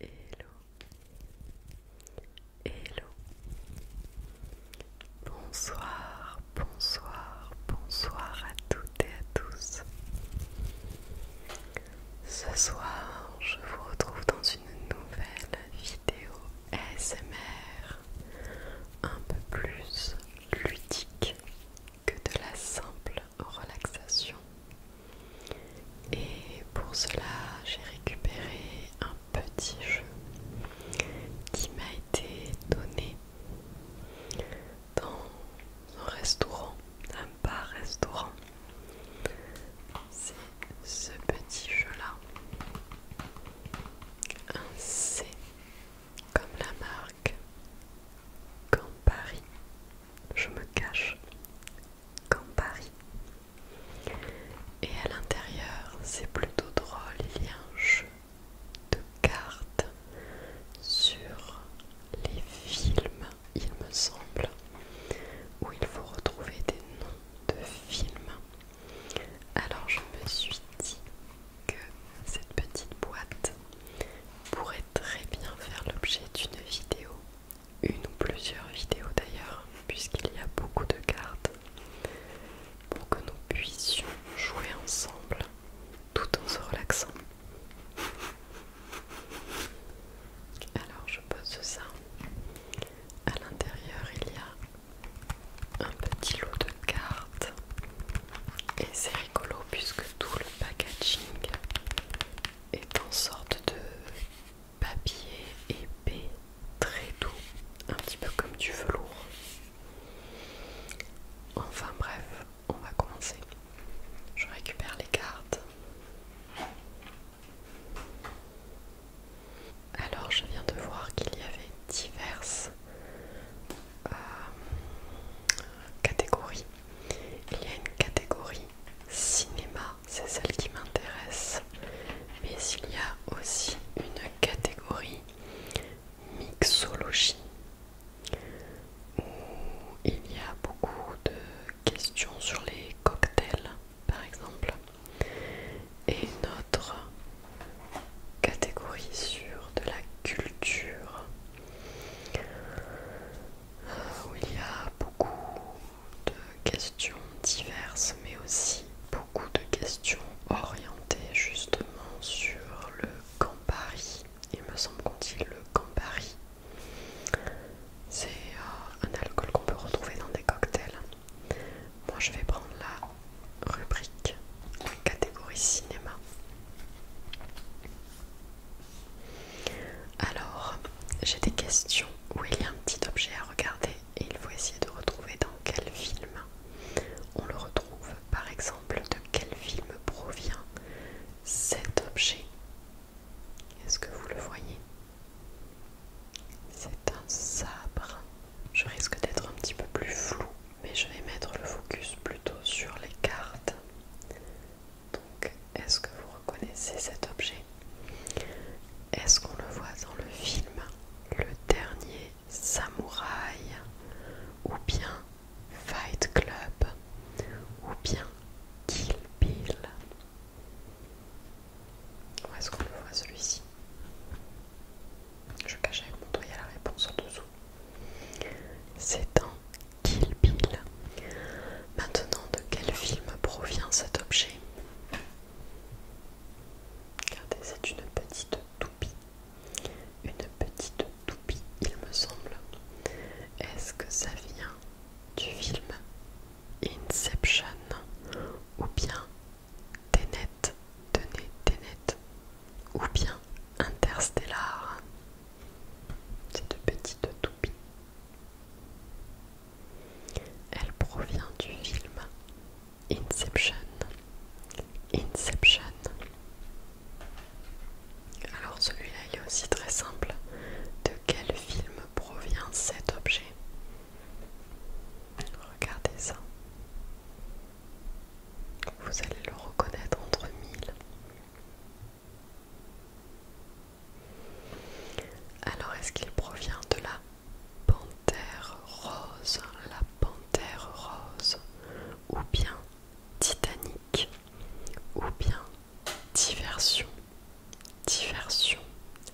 Hello, hello, bonsoir, bonsoir, bonsoir à toutes et à tous. Ce soir, je vous retrouve dans une nouvelle vidéo ASMR un peu plus ludique que de la simple relaxation. Et pour cela, j'ai récupéré un petit jeu qui m'a été donné dans un restaurant, un bar-restaurant. C'est ce petit jeu-là. Un C comme la marque. Campari je me cache. Campari Et à l'intérieur, c'est plutôt drôle, il y a un jeu de cartes sur les films, il me semble, où il faut retrouver des noms de films alors je me suis dit que cette petite boîte pourrait très bien faire l'objet d'une vidéo, une ou plusieurs vidéos d'ailleurs, puisqu'il y a beaucoup de cartes, pour que nous puissions jouer ensemble tout en se relaxant. Alors je pose ça. À l'intérieur, il y a un petit lot de cartes et c'est rigolo puisque tout le packaging est en sorte de papier épais très doux, un petit peu comme du velours. Enfin bref, on va commencer. Je récupère les cartes. Alors je viens de voir qu'il y avait diverses euh, catégories. Il y a une catégorie cinéma, c'est celle qui m'intéresse. Mais il y a aussi une catégorie mixologie où il y a beaucoup de questions sur les cocktails par exemple et notre catégorie sur de la culture euh, où il y a beaucoup de questions diverses mais aussi beaucoup de questions orientées justement sur le Campari. Il me semble qu'on dit le Campari. C'est euh, un alcool qu'on peut retrouver dans des cocktails. Moi, je vais prendre la rubrique, la catégorie cinéma. Alors, j'ai des questions où il y a un petit objet à regarder et il faut essayer de retrouver dans quel film on le retrouve. Par exemple, de quel film provient cet objet Est-ce que vous le voyez c'est un sabre. Je risque d'être un petit peu plus flou, mais je vais mettre le focus plutôt sur les cartes. Donc, est-ce que vous reconnaissez cet objet Est-ce qu'on le voit dans le film Le Dernier Samouraï Ou bien Fight Club Ou bien Kill Bill où est-ce qu'on le voit celui-ci Je cache avec mon doigt la réponse en dessous. C'est un Kill Bill. Maintenant, de quel film provient cet objet Regardez, c'est une petite toupie. Une petite toupie, il me semble. Est-ce que ça vient du film Inception ou bien Tenet, Tenet ou bien Interstellar. Cette petite toupie. Elle provient du film Inception. Inception. Alors celui-là, est aussi très simple. De quel film provient cet objet Regardez ça. Vous allez le reconnaître entre mille. Alors est-ce qu'il provient de la panthère rose, la panthère rose, ou bien Titanic, ou bien Diversion Diversion,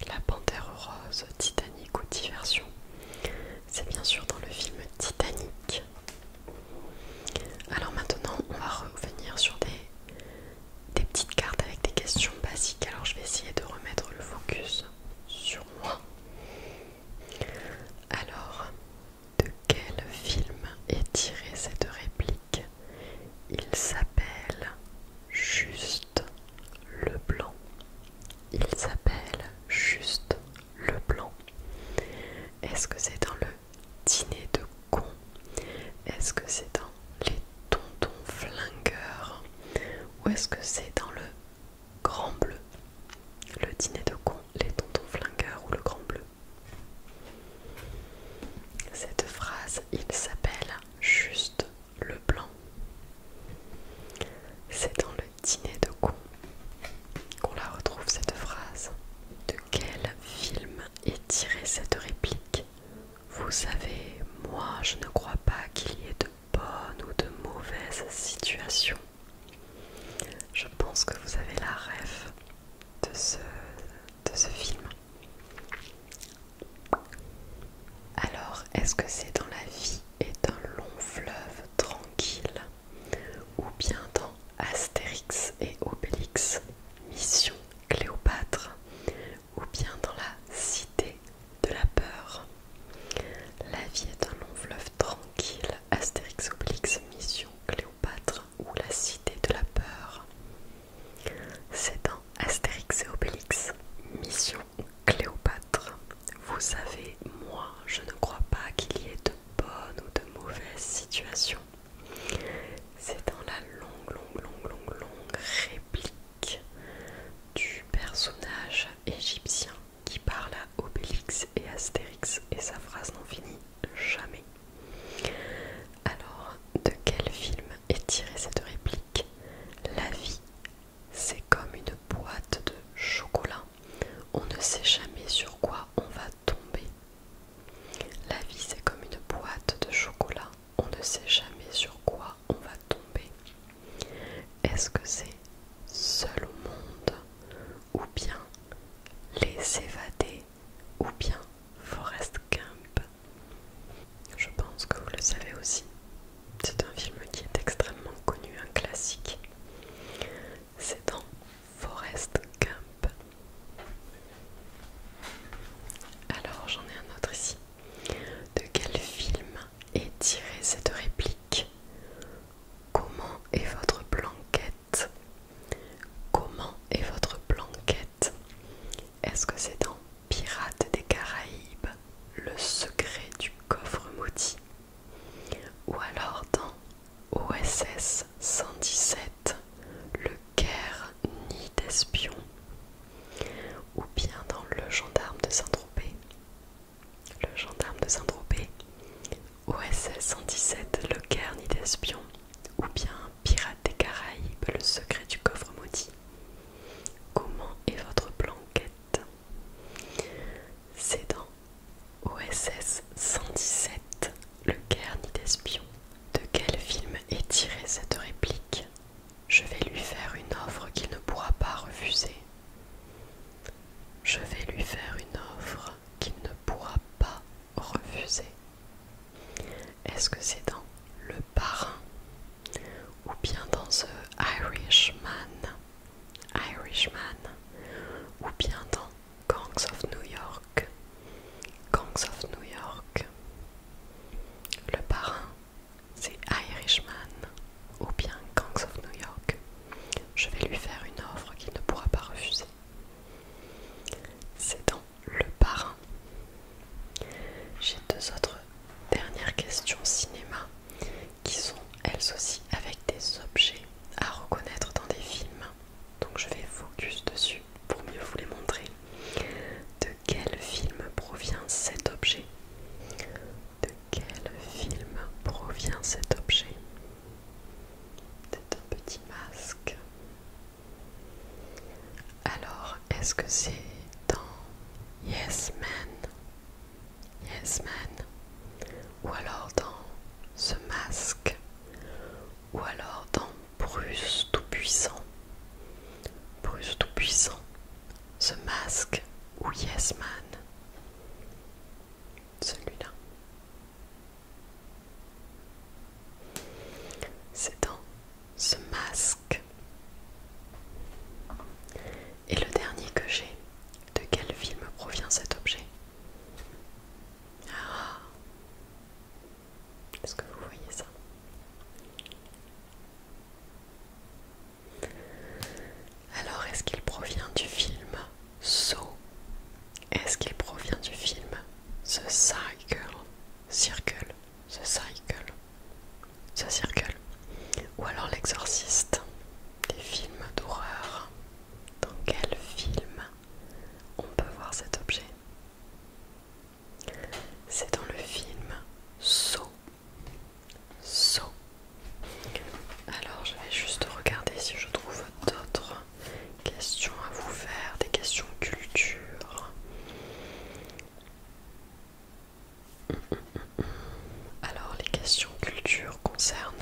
la panthère rose, Titanic ou Diversion, c'est bien sûr dans le film Titanic. Alors maintenant, on va revenir sur des, des petites cartes avec des questions basiques. Alors je vais essayer de remettre le focus sur moi. Alors, de quel film est tirée cette réplique Il s'appelle Juste le blanc Il s'appelle Juste le blanc Est-ce que c'est dans le dîner de con Est-ce que c'est dans les tontons flingueurs Ou est-ce que c'est dans le grand bleu Le dîner de con, les tontons flingueurs ou le grand bleu Cette phrase, il s'appelle Juste le blanc. C'est dans le dîner de con qu'on la retrouve cette phrase. De quel film est tirée cette réplique Vous savez, moi je ne crois pas qu'il y ait de bonnes ou de mauvaises situations. Je pense que vous avez la rêve de ce film. Alors, est-ce que c'est dans la vie est un long fleuve tranquille ou bien dans Astérix et Obélix, Mission Cléopâtre ou bien dans la cité de la peur La vie est un long fleuve tranquille, Astérix, Obélix, Mission Cléopâtre ou la cité de la peur c'est dans Astérix et Obélix, Mission Cléopâtre. Vous savez, moi, je ne crois pas qu'il y ait de bonnes ou de mauvaises situations. C'est dans la longue, longue, longue, longue, longue réplique du personnage égyptien qui parle à Obélix et Astérix et sa phrase n'en finit jamais. Alors, de quel film est tirée cette réplique la vie, c'est comme une boîte de chocolat. On ne sait jamais sur quoi on va tomber. La vie, c'est comme une boîte de chocolat. On ne sait jamais sur quoi on va tomber. Est-ce que c'est seul au monde ou bien les évadés ou bien Forest Camp je pense que vous le savez aussi. C'est un film qui est extrêmement connu, un classique. C'est dans Forest Gump. Alors j'en ai un autre ici. De quel film est tirée cette réplique Comment est votre planquette Comment est votre planquette Est-ce que c'est dans Pirate des Caraïbes, le secret du coffre maudit, ou alors dans OSS 117, le Caire ni d'espion, ou bien dans Le gendarme de Saint-Tropez. Le gendarme de Saint-Tropez, OSS 117, le Caire ni d'espion, ou bien Pirate des Caraïbes, le secret du coffre maudit. Comment est votre planquette C'est dans OSS 117, le ni d'espion. De quel film est tirée cette réplique Je vais lui faire une offre qu'il ne pourra pas refuser. Je vais lui faire une offre qu'il ne pourra pas refuser. Est-ce que c'est dans Le Parrain ou bien dans The Irishman, Irishman ou bien dans Gangs of New York, Gangs of New York Le Parrain, c'est Irishman ou bien Gangs of New York. Je vais lui faire une offre qu'il ne pourra pas refuser. C'est dans le Parrain. J'ai deux autres dernières questions cinéma qui sont elles aussi avec des objets à reconnaître dans des films. Donc je vais focus dessus pour mieux vous les montrer. De quel film provient cet objet De quel film provient cet objet C'est un petit masque. Alors, est-ce que c'est dans Yes Man Yes Man Ou alors dans Ce Masque Ou alors dans Bruce Tout-Puissant Bruce Tout-Puissant Ce Masque ou Yes Man Celui-là. C'est dans ce masque. Et le dernier que j'ai, de quel film provient cet objet ah. Est-ce que vous voyez ça Alors, est-ce qu'il provient du film So Est-ce qu'il provient du film The Cycle » Circle The Cycle, ça circule. ou alors L'Exorciste, des films d'horreur. Dans quel film on peut voir cet objet C'est dans le film Saut. So. So. Alors je vais juste regarder si je trouve d'autres questions à vous faire, des questions culture. Alors les questions culture concernent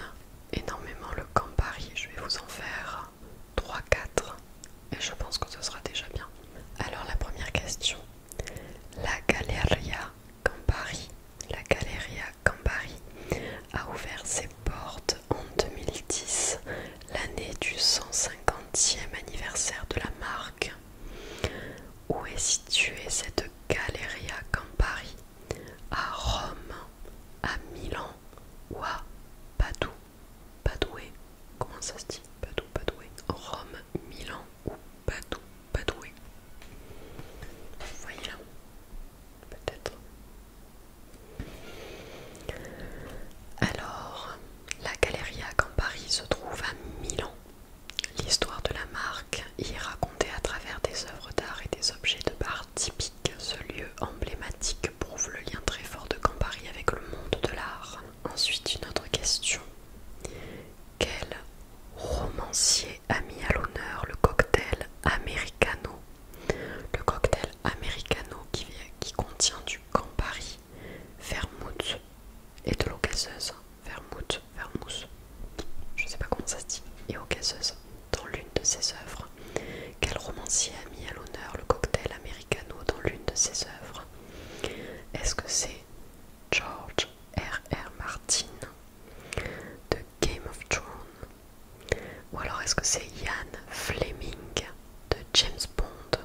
énormément le Campari Je vais vous en faire 3-4 et je pense que ce sera déjà bien. Alors la première question. La Galeria Campari, la Galeria Campari a ouvert ses portes en 2010 l'année du 150e anniversaire de la marque. Où est située cette à Campari À Rome, à Milan ou à Padoue Padoué Comment ça se dit Padoue, Padoué Rome, Milan ou Padoue, Padoué Vous voyez là Peut-être. Alors, la Galeria Campari se trouve à Milan. L'histoire de la marque y est racontée à travers des œuvres d'art et des objets de bar typiques. Ce lieu emblématique prouve le lien très fort de Campari avec le monde de l'art. Ensuite, une autre question. Quel romancier a mis à l'honneur le cocktail americano Le cocktail americano qui, qui contient du Campari, vermouth, et de l'eau vermouth, vermouth, je sais pas comment ça se dit, et eau dans l'une de ses œuvres. Quel romancier a mis à l'honneur le cocktail americano dans l'une de ses œuvres Est-ce que c'est George R. R. Martin de Game of Thrones Ou alors est-ce que c'est Ian Fleming de James Bond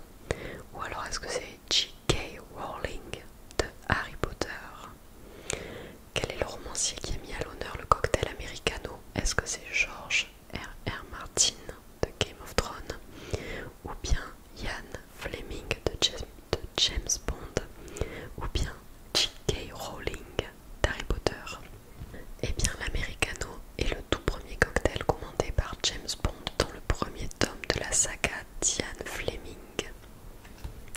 Ou alors est-ce que c'est G.K. Rowling de Harry Potter. Quel est le romancier qui a mis à l'honneur le cocktail americano Est-ce que c'est George R.R. Martin de Game of Thrones ou bien Ian Fleming de, James, Bond ou bien G.K. Rowling d'Harry Potter Eh bien, l'americano est le tout premier cocktail commandé par James Bond dans le premier tome de la saga Diane Fleming.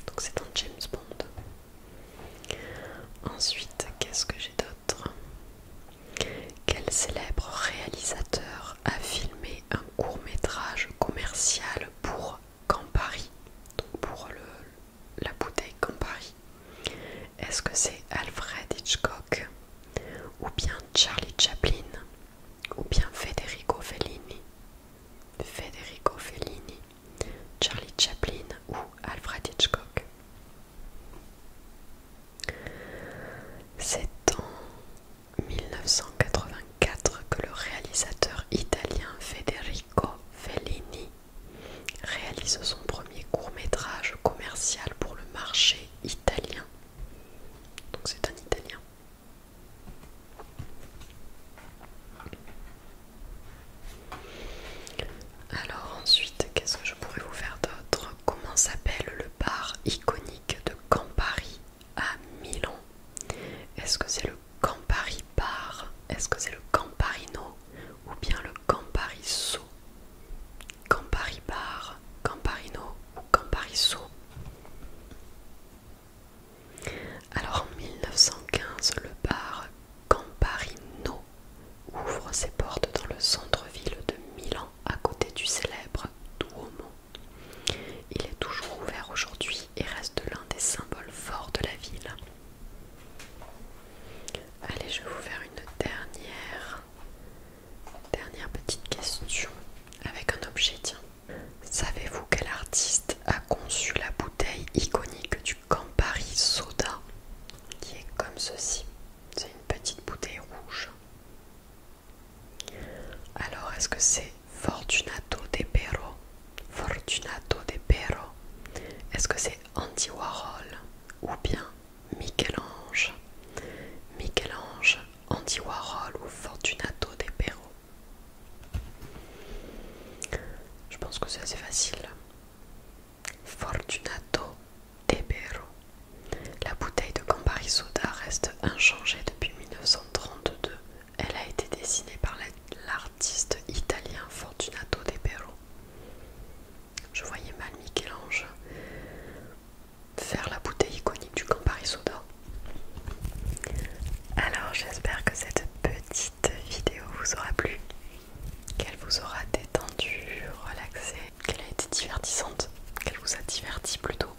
Donc c'est dans James Bond. Ensuite, qu'est-ce que j'ai d'autre Quel célèbre réalisateur a filmé un court métrage commercial pour Campari Donc pour la bouteille Campari. Est-ce que c'est Alfred Hitchcock ou bien Charlie Chaplin, ou bien Federico Fellini, Federico Fellini, Charlie Chaplin ou Alfred Hitchcock. C'est en 1984 que le réalisateur italien Federico Fellini réalise son premier court métrage commercial pour le marché italien donc c'est un italien. Alors ensuite, qu'est-ce que je pourrais vous faire d'autre Comment s'appelle le bar iconique de Campari à Milan Est-ce que c'est le Campari Bar Est-ce que c'est le Camparino Ou bien le Campari Campari Bar, Camparino ou Campariso. Alors en 1915, le bar Camparino ouvre ses portes dans le centre-ville de Milan, à côté du célèbre Duomo. Il est toujours ouvert aujourd'hui et reste l'un des symboles forts de la ville. Allez, je vais vous faire une dernière Dernière petite question avec un objet, tiens. Savez-vous quel artiste a conçu la bouteille iconique du Campari Soda qui est comme ceci C'est une petite bouteille rouge. Alors, est-ce que c'est Fortunato de Perro Fortunato de Perro. Est-ce que c'est Andy Warhol Ou bien Michel-Ange, Michel-Ange, Andy Warhol ou Fortunato de Perro. Je pense que c'est assez facile. Fortunato de Perro. La bouteille de Campari Soda reste inchangée depuis 1932. Elle a été dessinée par l'artiste italien Fortunato de Perro. Je voyais mal Michel-Ange faire la bouteille iconique du Campari Soda. Alors j'espère que cette petite vidéo vous aura plu, qu'elle vous aura détendu, relaxé, qu'elle a été divertissante, qu'elle vous a diverti plutôt.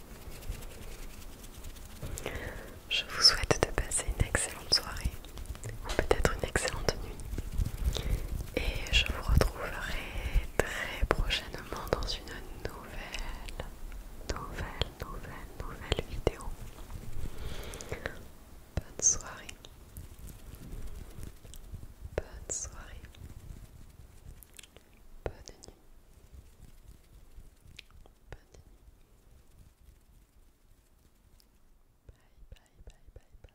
Je vous souhaite de passer une excellente soirée ou peut-être une excellente nuit et je vous retrouverai très prochainement dans une nouvelle, nouvelle, nouvelle, nouvelle vidéo. Bonne soirée. Bonne soirée. Bonne nuit. Bonne nuit. Bye bye bye bye bye.